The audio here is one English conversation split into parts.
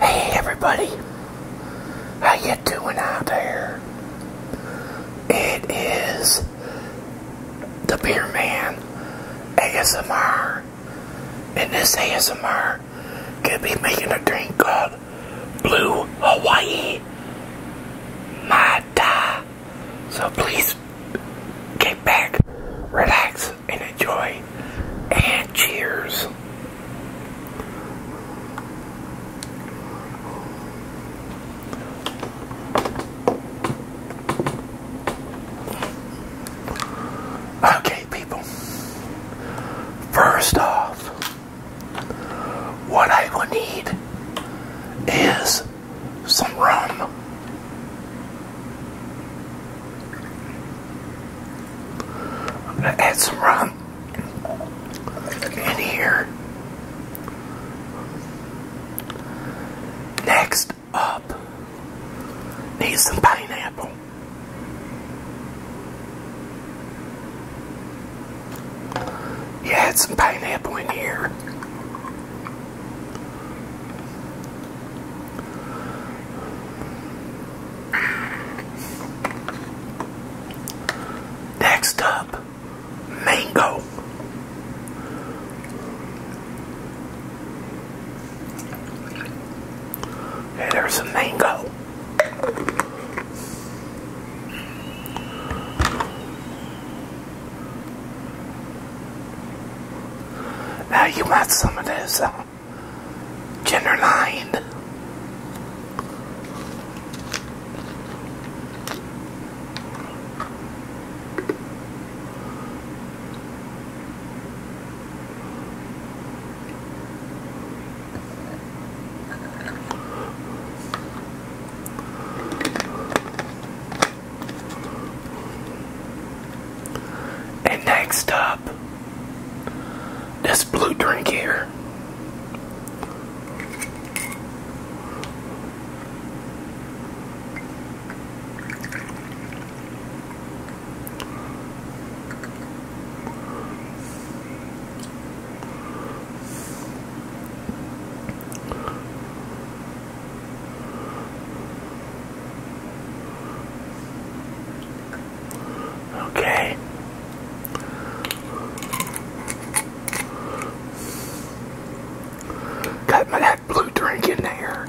Hey everybody, how you doing out there? It is the Beer Man ASMR, and this ASMR could be making a drink called Blue Hawaii Mata. So please get back, relax, and enjoy. And cheers. Okay, people. First off, what I will need is some rum. I'm going to add some rum in here. Next up, need some pineapple. add some pineapple in here. Next up, mango. Hey, there's a mango. Now you want some of this uh, ginger lined. And next up, this blue drink here. Okay. Got my that blue drink in there.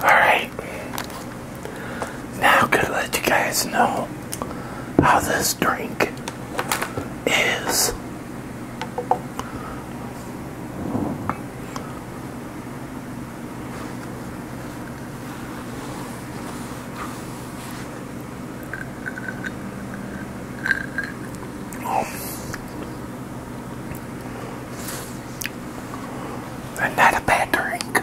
Alright, now I'm going to let you guys know how this drink is oh. bad drink.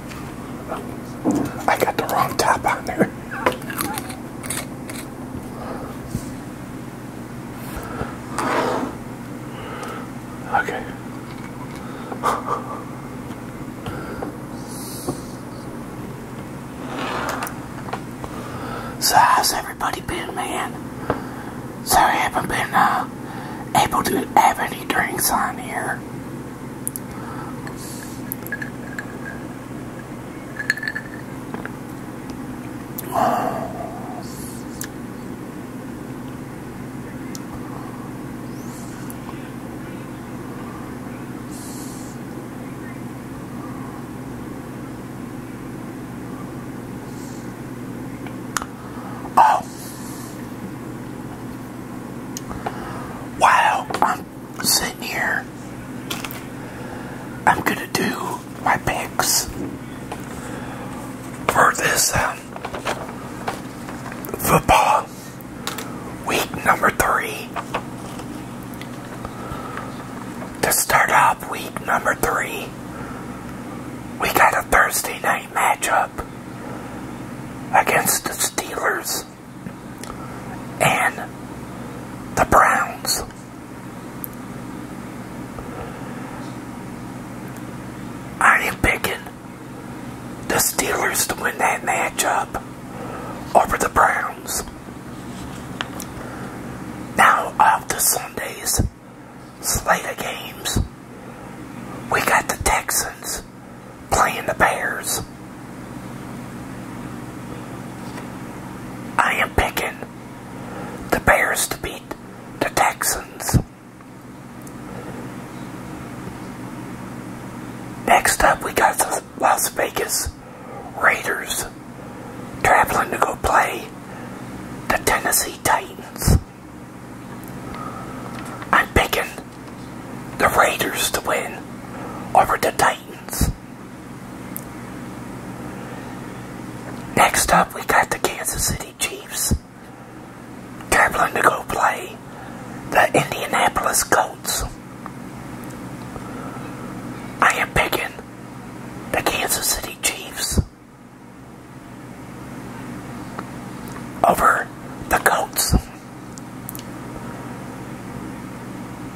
I got the wrong top on there. Okay. So how's everybody been, man? Sorry I haven't been uh, able to have any drinks on here. Oh. Wow, I'm sitting here, I'm gonna do my picks for this um, football week number three. To start off week number three, we got a Thursday night matchup against the Steelers and the Browns. Are you picking the Steelers to win that matchup over the Browns? Now, after Sunday's slate of games, we got the Texans playing the Bears. I am picking the Bears to beat the Texans. Next up, we got the Las Vegas Raiders traveling to go play the Tennessee Titans. I'm picking the Raiders to win over the Titans. Next up, we got the Kansas City Chiefs traveling to go play the Indianapolis Colts. I am picking the Kansas City Chiefs over the Colts.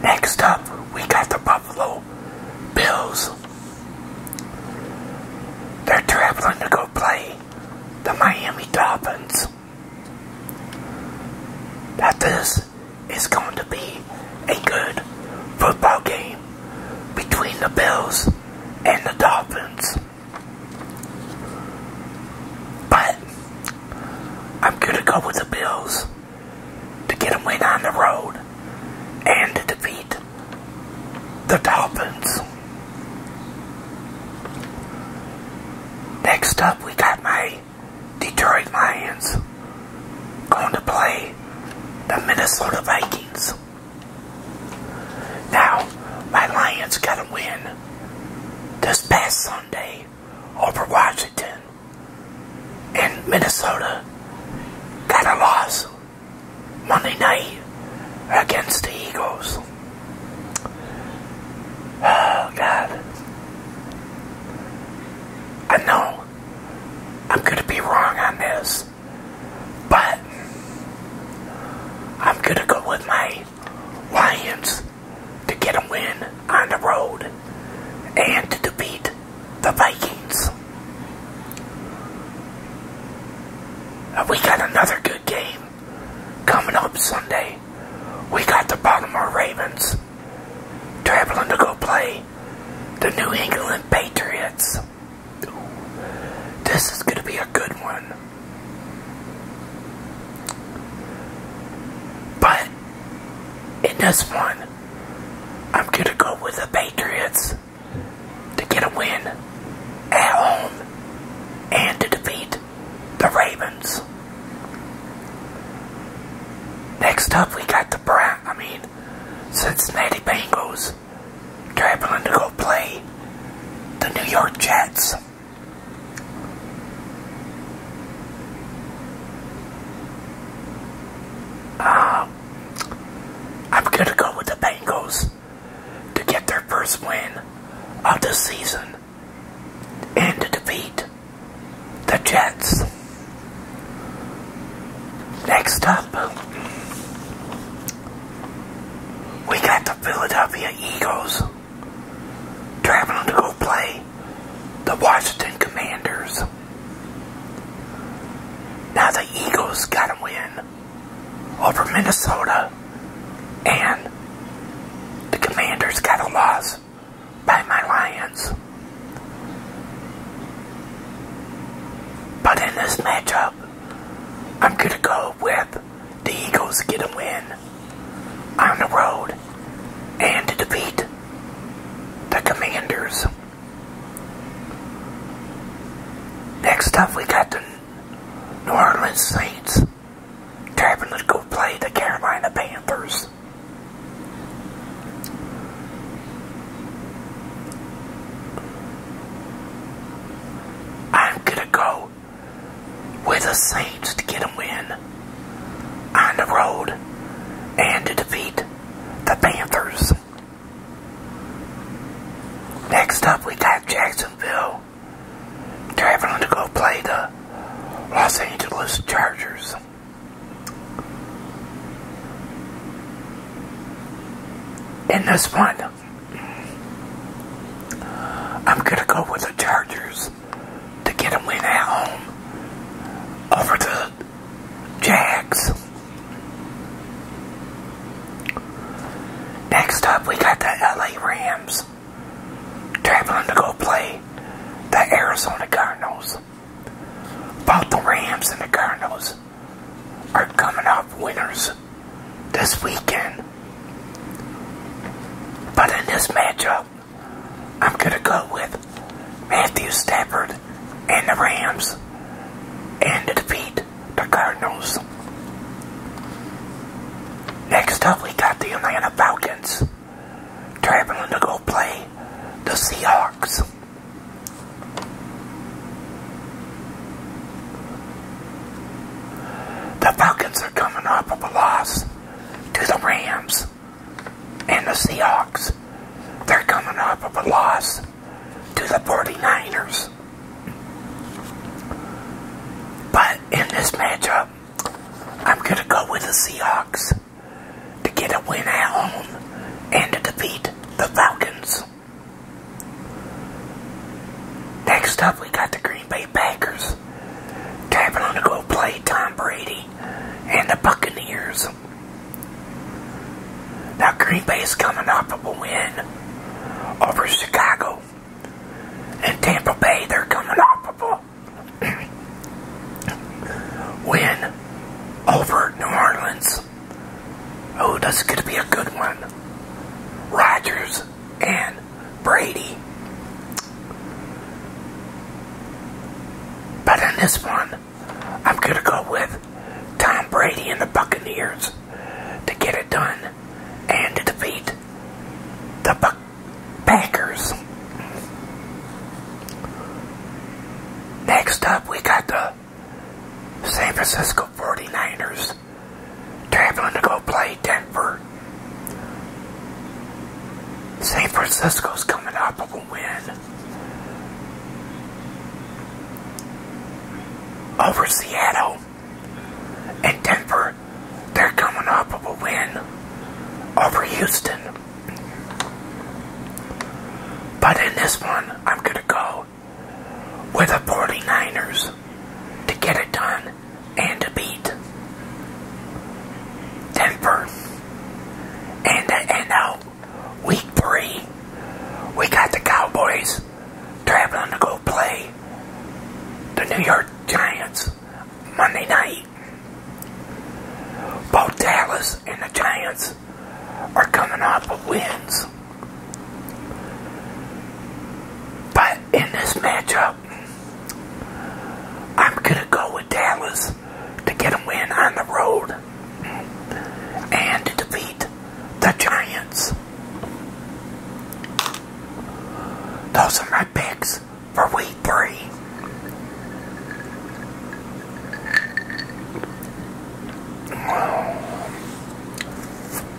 Next up, we got the Buffalo Bills. They're traveling to go play the Miami Dolphins. That is, is going to be a good football game between the Bills and the Dolphins. But I'm going to go with the Bills to get them win on the road and to defeat the Dolphins. Next up, we got my Detroit Lions going to play the Minnesota Vikings. Now, my Lions got to win this past Sunday over Washington and Minnesota got a loss Monday night against the Eagles. Oh, God. I know I'm going to be wrong on this, but I'm going to go with my Lions to get a win on the road and to defeat the Vikings. Uh, we got another good game coming up Sunday. We got the Baltimore Ravens traveling to go play the New England Patriots. This is going to be a good one. But in this one, I'm going to go with the Patriots to get a win at home and to defeat the Ravens. Next up, we got the Brown, I mean, Cincinnati Bengals traveling to go play the New York Jets. Um, I'm going to go with the Bengals to get their first win of the season and defeat the Jets. Next up, we got the Philadelphia Eagles traveling to go play the Washington Commanders. Now the Eagles got a win over Minnesota and the Commanders got a loss by my Lions. But in this matchup, I'm going to go with the Eagles get a win on the road and defeat the Commanders. Next up, we got the New Orleans Saints traveling to go play the Carolina Panthers. I'm gonna go with the Saints to get a win on the road and to defeat the Panthers. Next up, we got Jacksonville traveling to go play the Los Angeles Chargers. In this one, I'm going to go with the Chargers to get them win at home over the Jags. Next up, we got the LA Rams traveling to go play the Arizona Cardinals. Both the Rams and the Cardinals are coming off winners this weekend. But in this matchup, I'm going to go with Matthew Stafford and the Rams and defeat the Cardinals. Next up, we got the Atlanta Falcons traveling to go play the Seahawks. The Falcons are coming up of a loss to the Rams and the Seahawks. They're coming up of a loss to the 49ers. But in this matchup, I'm going to go with the Seahawks to get a win at home and to defeat the Falcons. Next up, we got the Green Bay Packers tapping on to go play Tom Brady and the Buccaneers. Now, Green Bay is coming off a win over Chicago. And Tampa Bay, they're coming off a win over New Orleans. Oh, that's going to be a good one. Rogers and Brady. But in this one, I'm going to go with Tom Brady and the Buccaneers to get it done and to defeat the Packers. Next up, we got the San Francisco 49ers was to go play Denver. San Francisco's coming up with a win. Over Seattle and Denver, they're coming up with a win over Houston. But in this one, I'm going to go deal with the 49ers to get it done and to beat Denver. And to out week three, we got the Cowboys traveling to go play the New York Giants Monday night. Both Dallas and the Giants are coming off of wins. But in this matchup, I'm going to go with Dallas to get a win on the road and to defeat the Giants. Those are my picks for week three.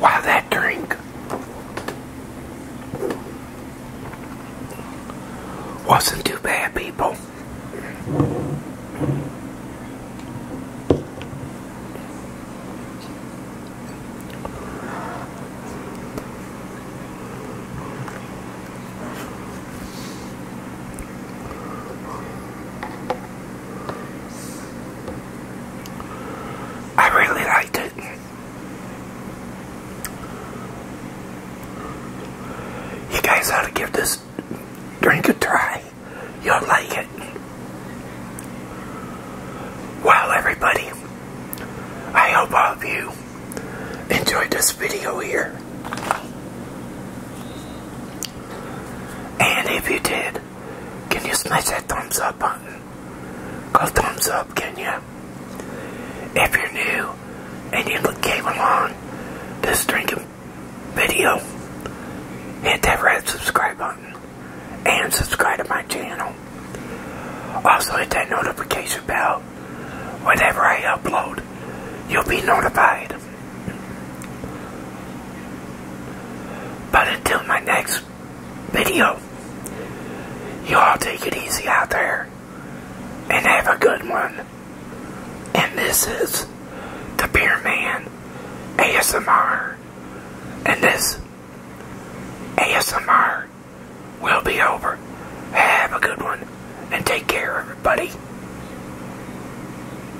Wow, that drink wasn't too bad, people. I really liked it. You guys ought to give this drink a try. You'll like it. Well, everybody, I hope all of you enjoyed this video here. And if you did, can you smash that thumbs up button? Go thumbs up, can you? If you're new and you came along this drinking video, hit that red subscribe button and subscribe to my channel. Also hit that notification bell. Whenever I upload, you'll be notified. But until my next video, you all take it easy out there and have a good one. And this is the Beer Man ASMR. And this ASMR will be over. Have a good one and take care, everybody.